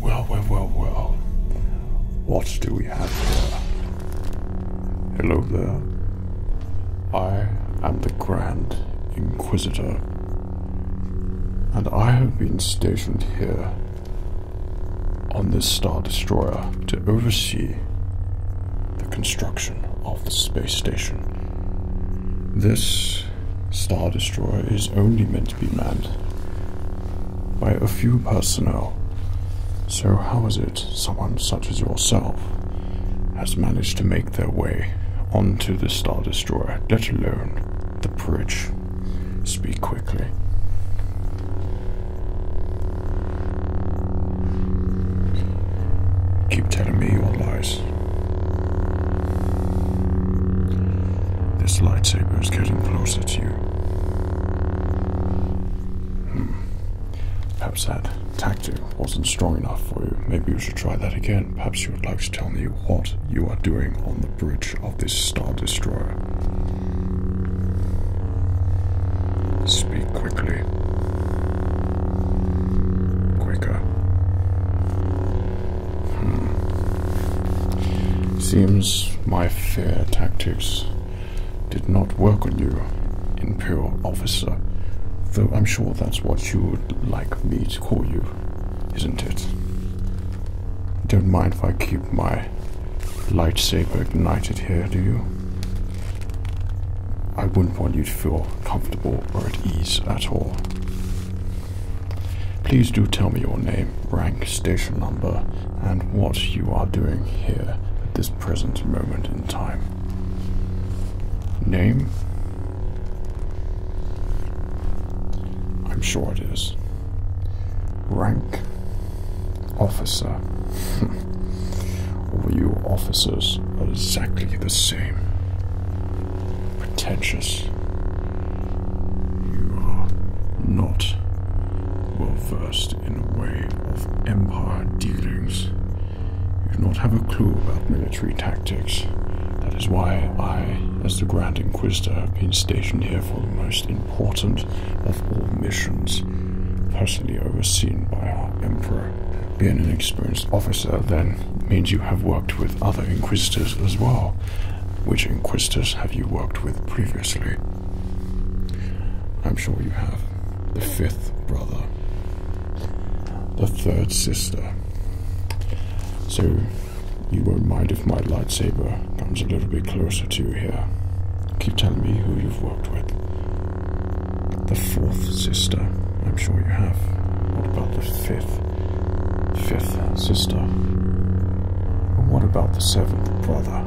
Well, well, well, well. What do we have here? Hello there. I am the Grand Inquisitor, and I have been stationed here on this Star Destroyer to oversee the construction of the space station. This Star Destroyer is only meant to be manned by a few personnel. So, how is it someone such as yourself has managed to make their way onto this Star Destroyer, let alone the bridge? Speak quickly. Keep telling me your lies. This lightsaber is getting closer to you. Hmm. Perhaps that tactic wasn't strong enough for you. Maybe you should try that again. Perhaps you would like to tell me what you are doing on the bridge of this Star Destroyer. Speak quickly quickly. Quicker. Hmm. Seems my fair tactics did not work on you, Imperial Officer. Though I'm sure that's what you would like me to call you, isn't it? Don't mind if I keep my lightsaber ignited here, do you? I wouldn't want you to feel comfortable or at ease at all. Please do tell me your name, rank, station number, and what you are doing here at this present moment in time. Name? I'm sure it is. Rank? Officer. all you officers are exactly the same. Pretentious. You are not well versed in the way of empire dealings. You do not have a clue about military tactics. That is why I, as the Grand Inquisitor, have been stationed here for the most important of all missions, personally overseen by our Emperor. Being an experienced officer then means you have worked with other Inquisitors as well. Which Inquisitors have you worked with previously? I'm sure you have. The fifth brother. The third sister. So, you won't mind if my lightsaber comes a little bit closer to you here. Keep telling me who you've worked with. The fourth sister, I'm sure you have. What about the fifth? Fifth sister. And what about the seventh brother?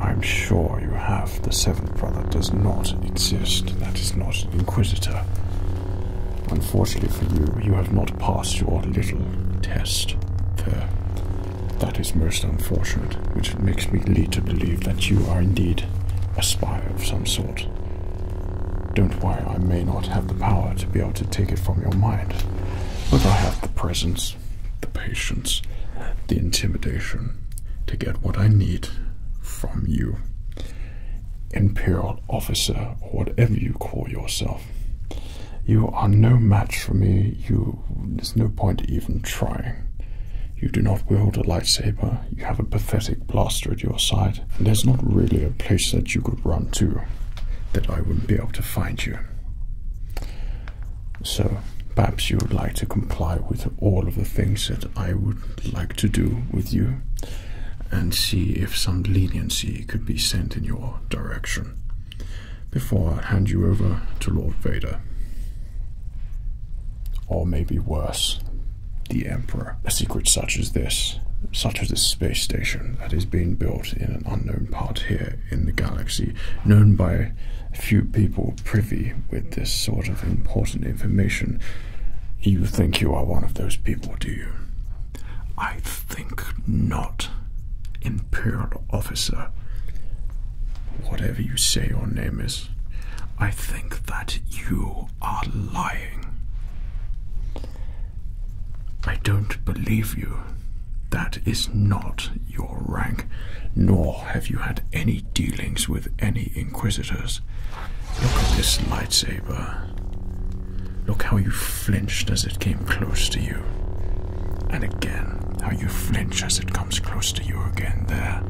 I'm sure you have. The seventh brother does not exist. That is not an inquisitor. Unfortunately for you, you have not passed your little test there. That is most unfortunate which makes me lead to believe that you are indeed a spy of some sort. Don't worry, I may not have the power to be able to take it from your mind, but I have the presence, the patience, the intimidation to get what I need from you, Imperial Officer, or whatever you call yourself. You are no match for me. You, there's no point even trying. You do not wield a lightsaber, you have a pathetic blaster at your side, and there's not really a place that you could run to that I wouldn't be able to find you. So, perhaps you would like to comply with all of the things that I would like to do with you and see if some leniency could be sent in your direction before I hand you over to Lord Vader. Or maybe worse, the Emperor. A secret such as this, such as this space station that is being built in an unknown part here in the galaxy, known by few people privy with this sort of important information. You think you are one of those people, do you? I think not, Imperial Officer. Whatever you say your name is. I think that you are lying. I don't believe you. That is not your rank, nor have you had any dealings with any inquisitors. Look at this lightsaber. Look how you flinched as it came close to you, and again how you flinch as it comes comes close to you again there,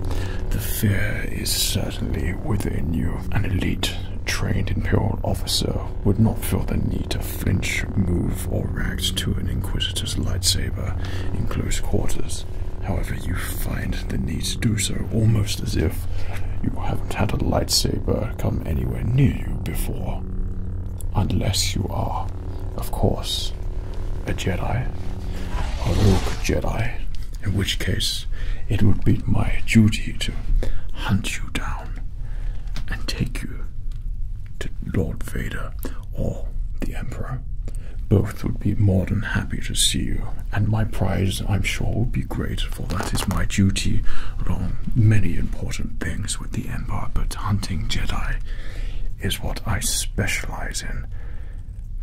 the fear is certainly within you. An elite, trained Imperial officer would not feel the need to flinch, move, or react to an Inquisitor's lightsaber in close quarters. However, you find the need to do so almost as if you haven't had a lightsaber come anywhere near you before. Unless you are, of course, a Jedi or rogue Jedi, in which case it would be my duty to hunt you down and take you to Lord Vader or the Emperor. Both would be more than happy to see you, and my prize, I'm sure, would be great, for that is my duty along many important things with the Empire, but hunting Jedi is what I specialize in,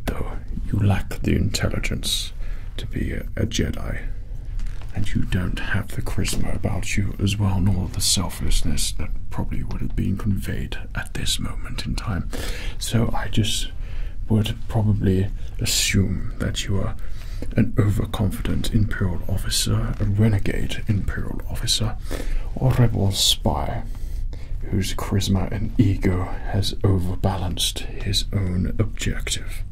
though you lack the intelligence to be a, Jedi, and you don't have the charisma about you as well, nor the selflessness that probably would have been conveyed at this moment in time. So I just would probably assume that you are an overconfident Imperial officer, a renegade Imperial officer, or rebel spy whose charisma and ego has overbalanced his own objective.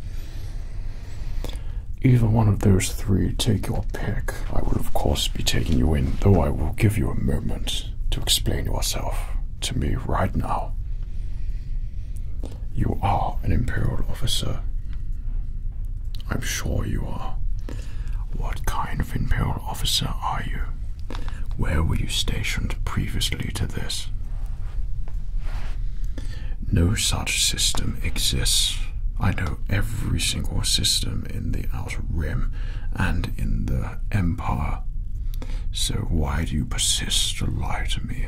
Either one of those three, take your pick. I will, of course, be taking you in, though I will give you a moment to explain yourself to me right now. You are an Imperial officer. I'm sure you are. What kind of Imperial officer are you? Where were you stationed previously to this? No such system exists. I know every single system in the Outer Rim and in the Empire. So why do you persist to lie to me?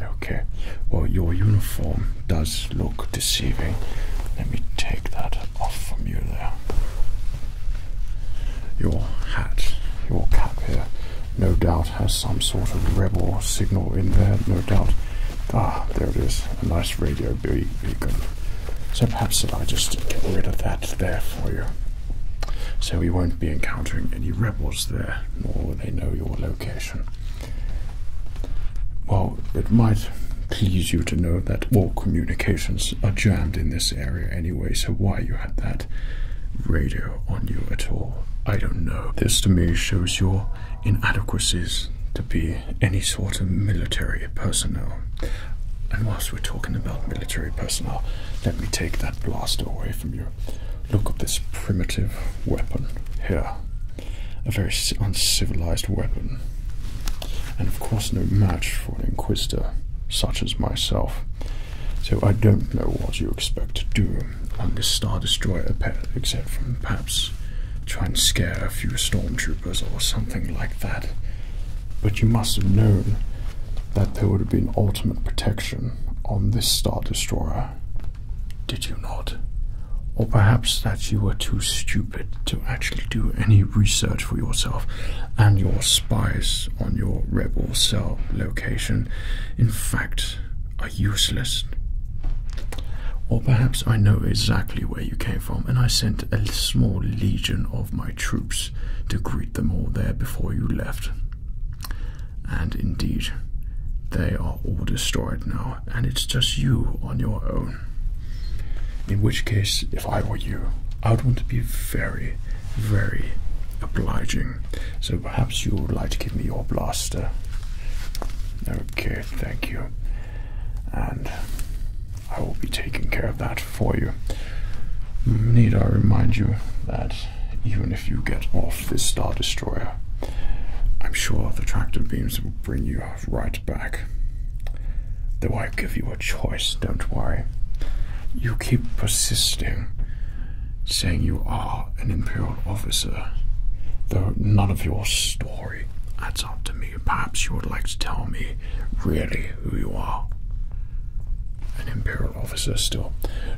Okay, well, your uniform does look deceiving. Let me take that off from you there. Your hat, your cap here, no doubt has some sort of rebel signal in there, no doubt. Ah, there it is, a nice radio beacon. So perhaps that I just get rid of that there for you. So we won't be encountering any rebels there, nor they know your location. Well, it might please you to know that all communications are jammed in this area anyway, so why you had that radio on you at all, I don't know. This to me shows your inadequacies to be any sort of military personnel. And whilst we're talking about military personnel, let me take that blaster away from you. Look at this primitive weapon here. A very uncivilized weapon and of course no match for an inquisitor such as myself. So I don't know what you expect to do on this Star Destroyer except from perhaps try and scare a few stormtroopers or something like that. But you must have known that there would have been ultimate protection on this Star Destroyer, did you not? Or perhaps that you were too stupid stupid to actually do any research for yourself, and your spies on your rebel cell location, in fact, are useless. Or perhaps I know exactly where you came from, and I sent a small legion of my troops to greet them all there before you left. And indeed, they are all destroyed now, and it's just you on your own. In which case, if I were you, I would want to be very, very obliging. So perhaps you would like to give me your blaster. Okay, thank you. And I will be taking care of that for you. Need I remind you that even if you get off this Star Destroyer, I'm sure the tractor beams will bring you right back. Though I give you a choice, don't worry. You keep persisting, saying you are an Imperial officer, though none of your story adds up to me. Perhaps you would like to tell me really who you are. An Imperial officer, still.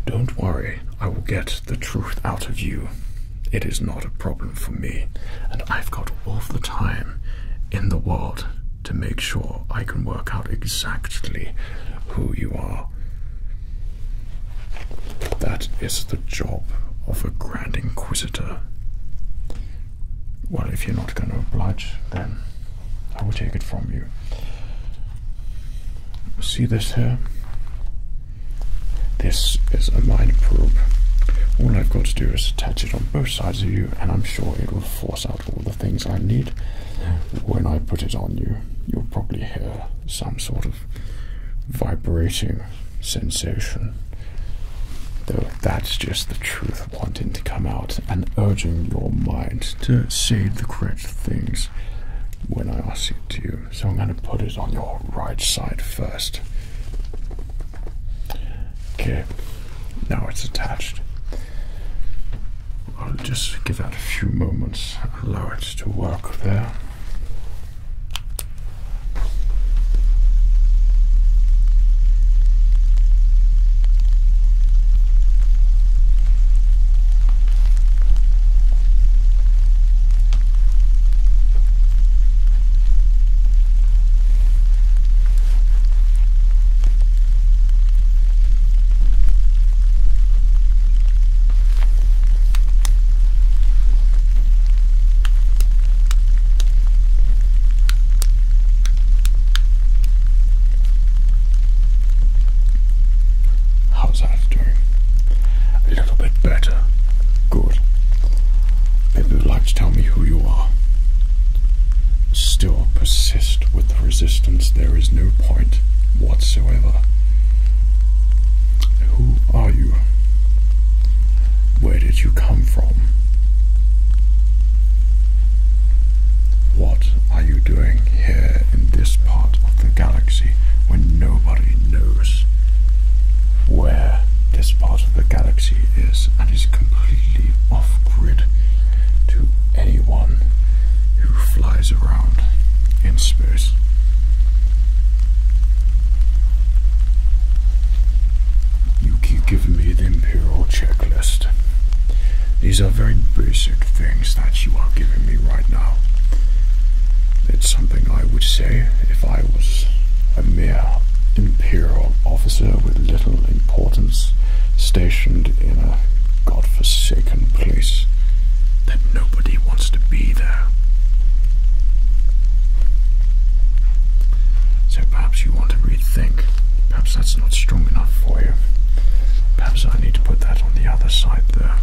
Don't worry, I will get the truth out of you. It is not a problem for me, and I've got all the time in the world to make sure I can work out exactly who you are. That is the job of a Grand Inquisitor. Well, if you're not going to oblige, then I will take it from you. See this here? This is a mine probe. All I've got to do is attach it on both sides of you, and I'm sure it will force out all the things I need. When I put it on you, you'll probably hear some sort of vibrating sensation. Though that's just the truth wanting to come out and urging your mind to say the correct things when I ask it to you. So I'm going to put it on your right side first. Okay, now it's attached. I'll just give that a few moments, allow it to work there. How's that doing? A little bit better. Good. you would like to tell me who you are still persist with the resistance, there is no point whatsoever. Who are you? Where did you come from? What are you doing here in this part of the galaxy when nobody knows where this part of the galaxy is and is completely off grid to anyone who flies around in space. You keep giving me the Imperial checklist. These are very basic things that you are giving me right now. It's something I would say if I was a mere imperial officer with little importance, stationed in a god-forsaken place that nobody wants to be there. So perhaps you want to rethink. Perhaps that's not strong enough for you. Perhaps I need to put that on the other side there.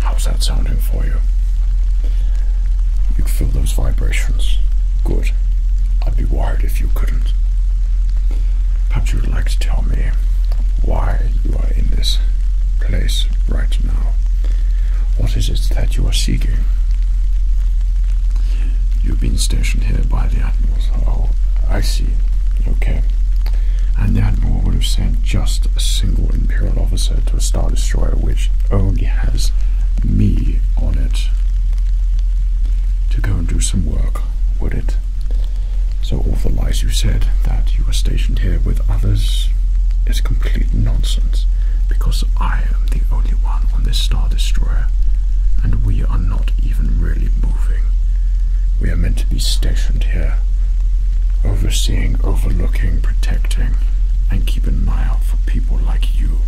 How's that sounding for you? You can feel those vibrations. Good. I'd be wired if you couldn't. Perhaps you would like to tell me why you are in this place right now. What is it that you are seeking? You've been stationed here by the Admiral. Oh, I see. Okay. And the Admiral would have sent just a single Imperial officer to a Star Destroyer which only has me on it to go and do some work, would it? So all the lies you said that you were stationed here with others is complete nonsense, because I am the only one on this Star Destroyer, and we are not even really moving. We are meant to be stationed here, overseeing, overlooking, protecting, and keeping an eye out for people like you.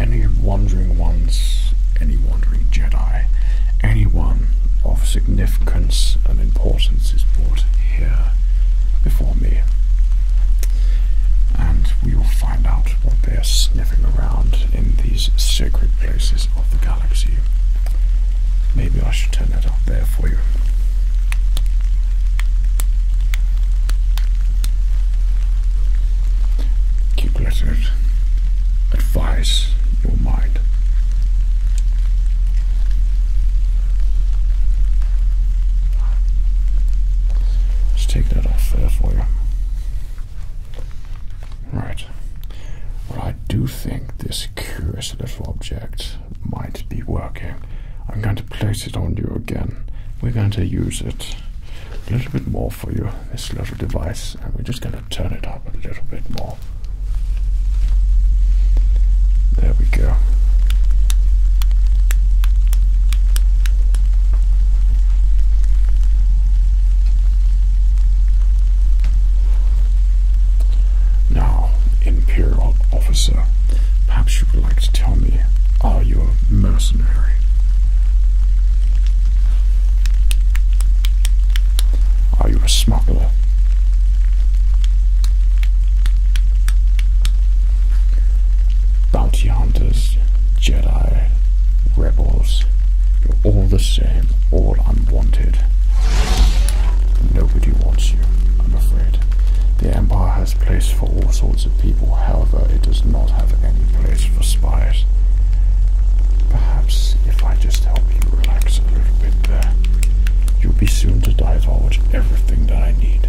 Any wandering ones, any wandering Jedi by anyone of significance and importance is brought here before me. And we will find out what they are sniffing around in these secret places of the galaxy. Maybe I should turn that up there for you. Keep letting advise your mind. Let's take that off there for you. Right. Well, I do think this curious little object might be working. I'm going to place it on you again. We're going to use it a little bit more for you, this little device, and we're just going to turn it up a little bit more. There we go. Now, Imperial Officer, perhaps you would like to tell me are you a mercenary? Are you a smuggler? Bounty hunters, Jedi, rebels, you're all the same, all unwanted. Nobody wants you, I'm afraid. The Empire has place for all sorts of people, however, it does not have any place for spies. Perhaps if I just help you relax a little bit there. You'll be soon to dive towards everything that I need.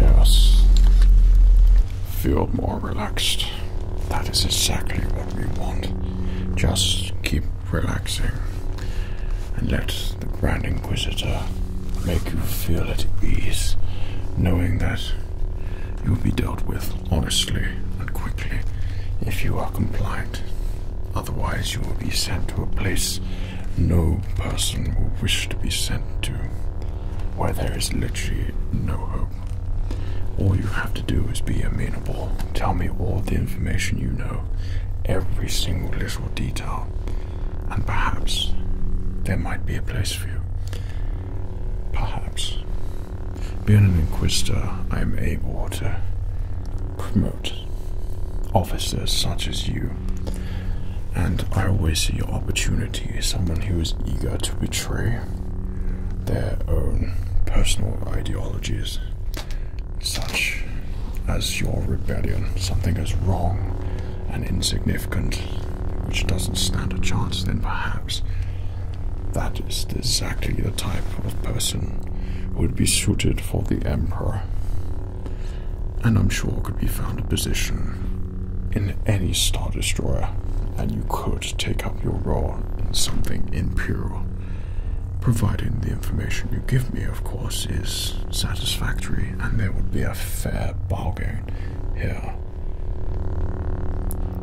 Yes. Feel more relaxed. That is exactly what we want. Just keep relaxing and let the Grand Inquisitor make you feel at ease, knowing that you will be dealt with honestly and quickly if you are compliant. Otherwise, you will be sent to a place no person will wish to be sent to, where there is literally no hope. All you have to do is be amenable. Tell me all the information you know, every single little detail, and perhaps there might be a place for you. Perhaps. Being an inquisitor, I am able to promote officers such as you. And I always see your opportunity as someone who is eager to betray their own personal ideologies, such as your rebellion, something is wrong an insignificant, which doesn't stand a chance, then perhaps that is exactly the type of person who would be suited for the Emperor. And I'm sure could be found a position in any Star Destroyer, and you could take up your role in something Imperial. Providing the information you give me, of course, is satisfactory, and there would be a fair bargain here.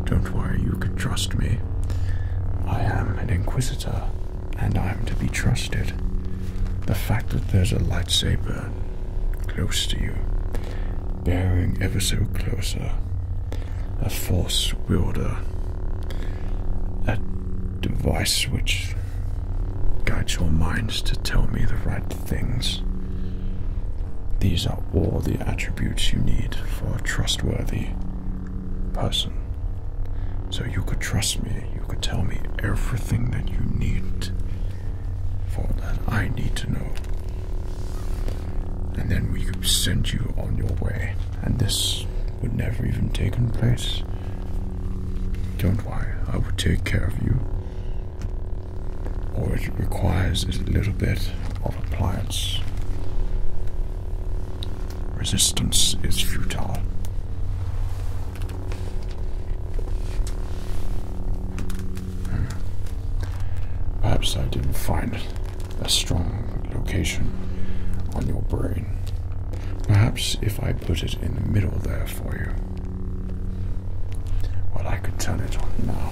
Don't worry, you can trust me. I am an Inquisitor, and I am to be trusted. The fact that there's a lightsaber close to you, bearing ever so closer, a force wielder, a device which guides your minds to tell me the right things. These are all the attributes you need for a trustworthy person. So you could trust me, you could tell me everything that you need for that I need to know. And then we could send you on your way. And this would never even taken place. Don't worry, I will take care of you. Or it requires a little bit of appliance. Resistance is futile. Perhaps I didn't find a strong location on your brain. Perhaps if I put it in the middle there for you, well, I could turn it on now.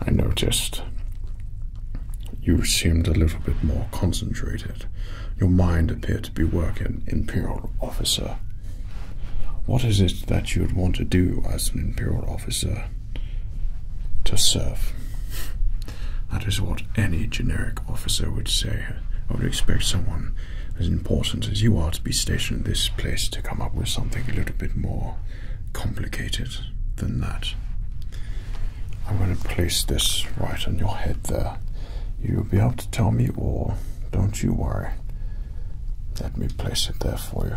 I noticed you seemed a little bit more concentrated. Your mind appeared to be working, Imperial Officer. What is it that you would want to do as an imperial officer to serve? That is what any generic officer would say. I would expect someone as important as you are to be stationed in this place to come up with something a little bit more complicated than that. I'm going to place this right on your head there. You'll be able to tell me all, don't you worry. Let me place it there for you.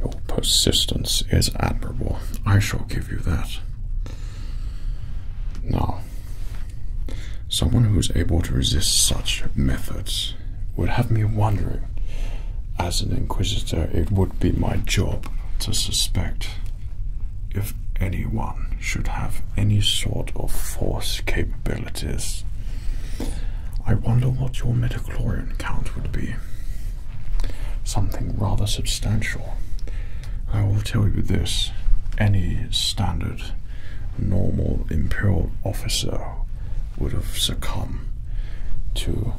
Your persistence is admirable. I shall give you that. Now, someone who is able to resist such methods would have me wondering. As an inquisitor, it would be my job to suspect if anyone should have any sort of force capabilities. I wonder what your midichlorian count would be. Something rather substantial, I will tell you this any standard normal imperial officer would have succumbed to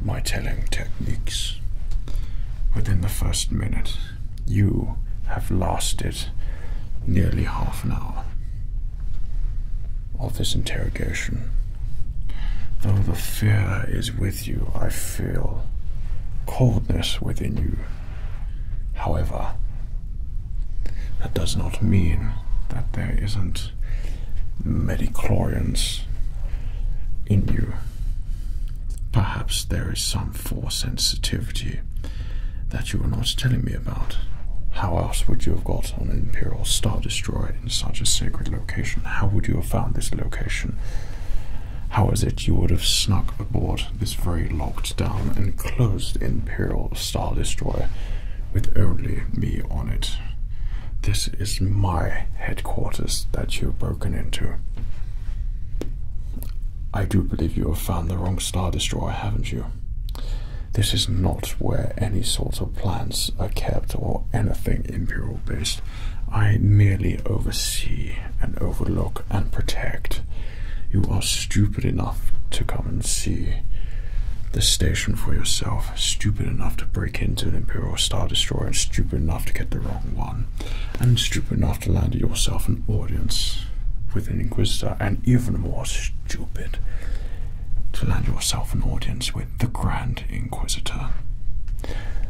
my telling techniques within the first minute. You have lasted nearly half an hour of this interrogation. Though the fear is with with you. I feel coldness within you. However, that does not mean that there isn't Medichlorians in you. Perhaps there is some force sensitivity that you are not telling me about. How else would you have got an Imperial Star Destroyer in such a sacred location? How would you have found this location? How is it you would have snuck aboard this very locked down and closed Imperial Star Destroyer with only me on it? This is my headquarters that you've broken into. I do believe you have found the wrong Star Destroyer, haven't you? This is not where any sort of plans are kept or anything Imperial based. I merely oversee and overlook and protect. You are stupid enough to come and see the station for yourself, stupid enough to break into an Imperial Star Destroyer, stupid enough to get the wrong one, and stupid enough to land yourself an audience with an Inquisitor, and even more stupid to land yourself an audience with the Grand Inquisitor.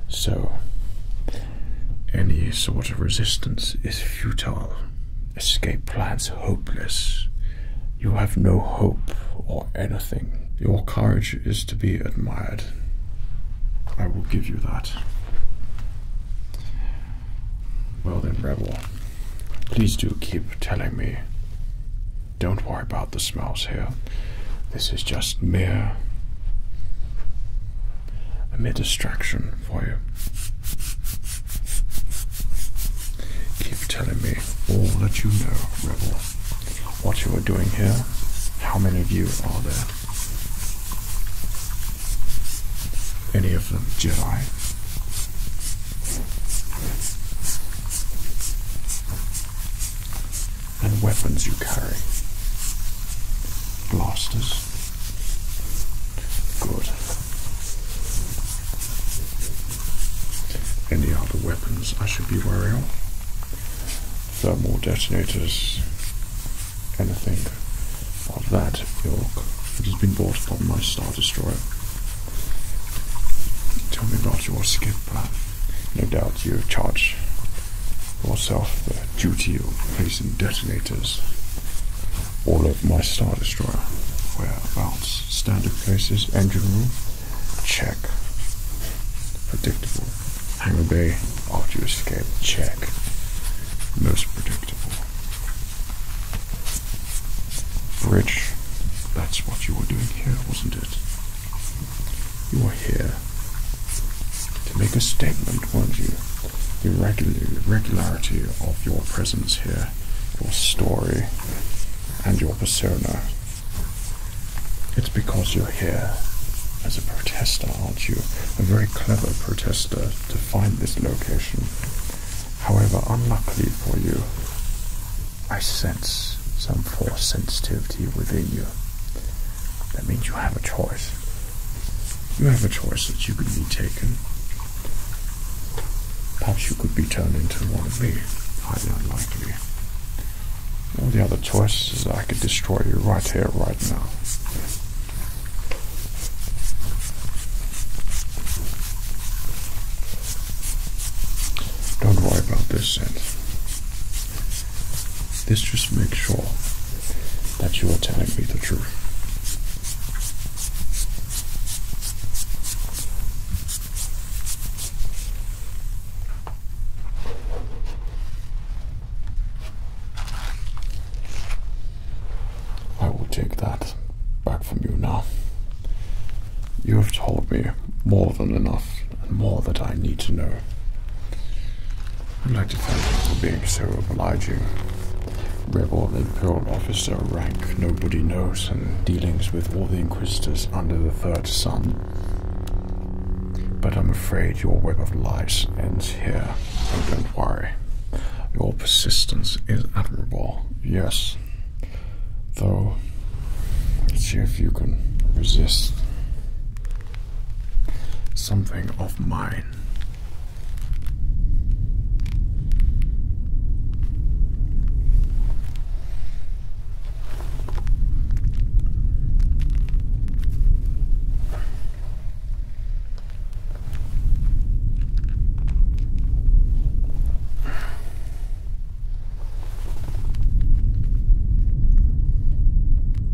So, any sort of resistance is futile, escape plans hopeless. You have no hope or anything. Your courage is to be admired. I will give you that. Well then, Rebel, please do keep telling me. Don't worry about the smells here. This is just mere a mere distraction for you. Keep telling me all that you know, Rebel. What you are doing here, how many of you are there? Any of them Jedi? and weapons you carry. Blasters. Good. Any other weapons I should be wary of? Thermal detonators. Anything of that ilk It has been bought from my Star Destroyer. Tell me about your skip. No doubt you charge myself the duty of placing detonators all of my Star Destroyer. Whereabouts? Standard places, engine room, check. Predictable. Hangar bay, after you escape, check. Most predictable. Bridge, that's what you were doing here, wasn't it? You are here to make a statement, weren't you? The regularity of your presence here, your story, and your persona. It's because you're here as a protester, aren't you? A very clever protester to find this location. However, unluckily for you, I sense some force sensitivity within you. That means you have a choice. You have a choice that you could be taken. Perhaps you could be turned into one of me. Highly unlikely. All the other choice is I could destroy you right here, right now. Don't worry about this, Ed. This just makes sure that you are telling me the truth. I will take that back from you now. You have told me more than enough and more that I need to know. I'd like to thank you for being so obliging. Rebel Imperial Officer rank nobody knows and dealings with all the Inquisitors under the Third Sun. But I'm afraid your web of lies ends here. Oh, don't worry. Your persistence is admirable, yes. Though, let's see if you can resist something of mine.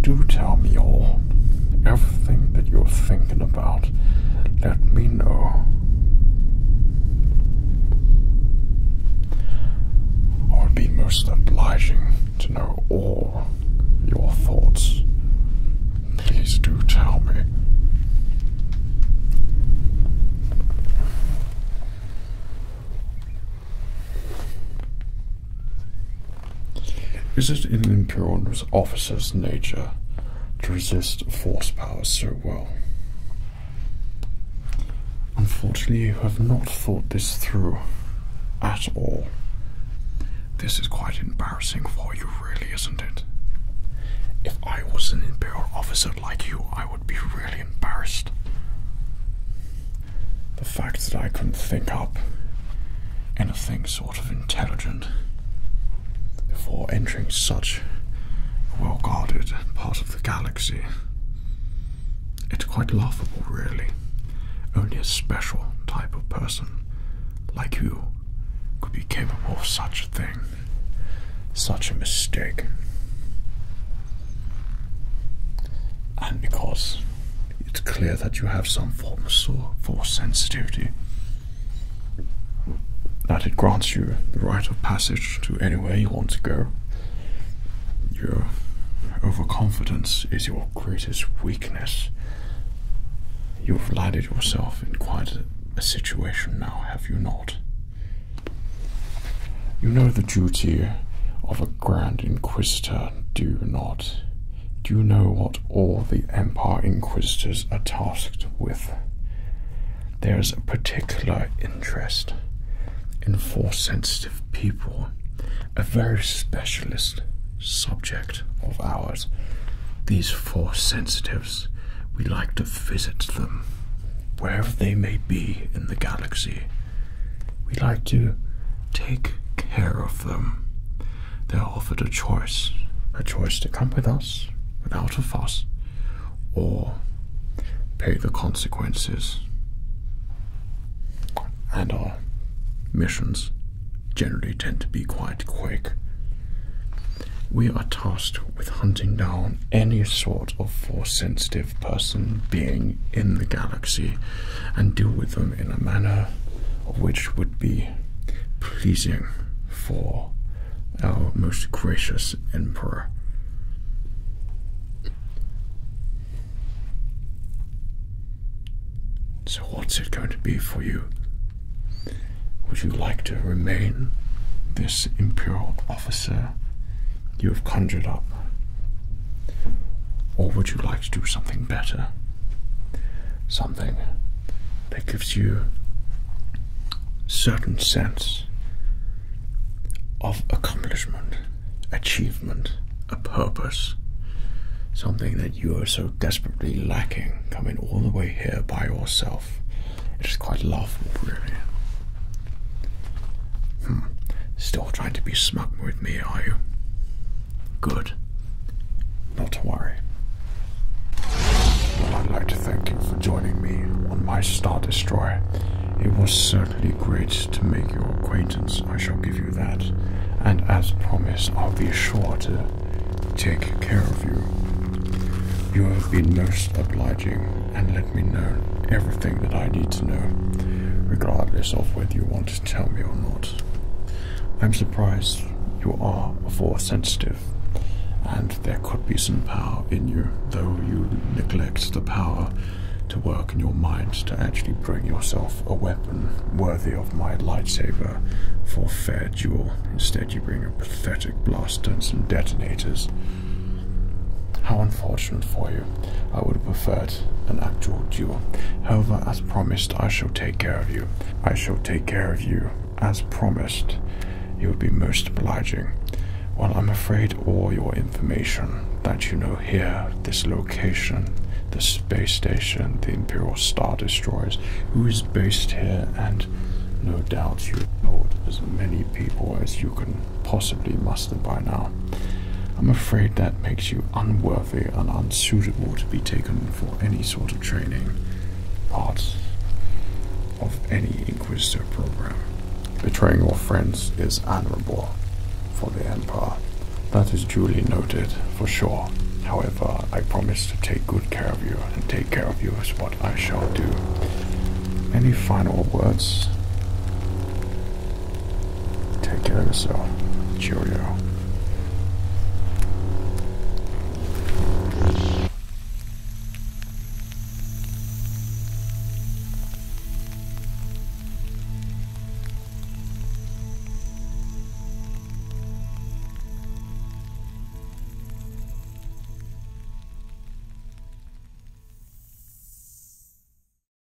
Do tell me all, everything that you're thinking about. Let me know. I be most obliging to know all your thoughts. Please do tell me. Is it in imperial officer's nature to resist force powers so well? Unfortunately, you have not thought this through at all. This is quite embarrassing for you, really, isn't it? If I was an Imperial officer like you, I would be really embarrassed the fact that I couldn't think up anything sort of intelligent before entering such a well guarded part of the galaxy. It's quite laughable, really. Only a special type of person like you could be capable of such a thing, such a mistake. And because it's clear that you have some form of force sensitivity. That it grants you the right of passage to anywhere you want to go. Your overconfidence is your greatest weakness. You've landed yourself in quite a, a situation now, have you not? You know the duty of a Grand Inquisitor, do you not? Do you know what all the Empire Inquisitors are tasked with? There is a particular interest in four sensitive people, a very specialist subject of ours. These four sensitives, we like to visit them wherever they may be in the galaxy. We like to take care of them. They're offered a choice a choice to come with us without a fuss or pay the consequences. And our missions generally tend to be quite quick. We are tasked with hunting down any sort of force sensitive person being in the galaxy and deal with them in a manner which would be pleasing for our most gracious emperor. So, what's it going to be for you? Would you like to remain this imperial officer you have conjured up? Or would you like to do something better? Something that gives you certain sense of accomplishment, achievement, a purpose, something that you are so desperately lacking, coming all the way here by yourself. It is quite laughable, really. Hmm. Still trying to be smug with me, are you? Good. Not to worry. Well, I'd like to thank you for joining me on my Star Destroyer. It was certainly great to make your acquaintance, I shall give you that. And as promised, I'll be sure to take care of you. You have been most obliging and let me know everything that I need to know, regardless of whether you to tell me or not. I'm surprised you are force sensitive, and there could be some power in you, though you neglect the power to work in your mind to actually bring yourself a weapon worthy of my lightsaber for fair duel. Instead, you bring a pathetic blaster and some detonators. How unfortunate for you. I would have preferred an actual duel. However, as promised, I shall take care of you. I shall take care of you. As promised, you will be most obliging. Well, I'm afraid all your information that you know here, this location, the space station, the Imperial Star Destroyers, who is based here, and no doubt you have told as many people as you can possibly muster by now. I'm afraid that makes you unworthy unworthy and unsuitable to be taken for any sort of training part of any Inquisitor program. Betraying your friends is honorable for the Empire. That is duly noted, for sure. However, I promise to take good care of you, and take care of you is what I shall do. Any final words? Take care of yourself. Cheerio.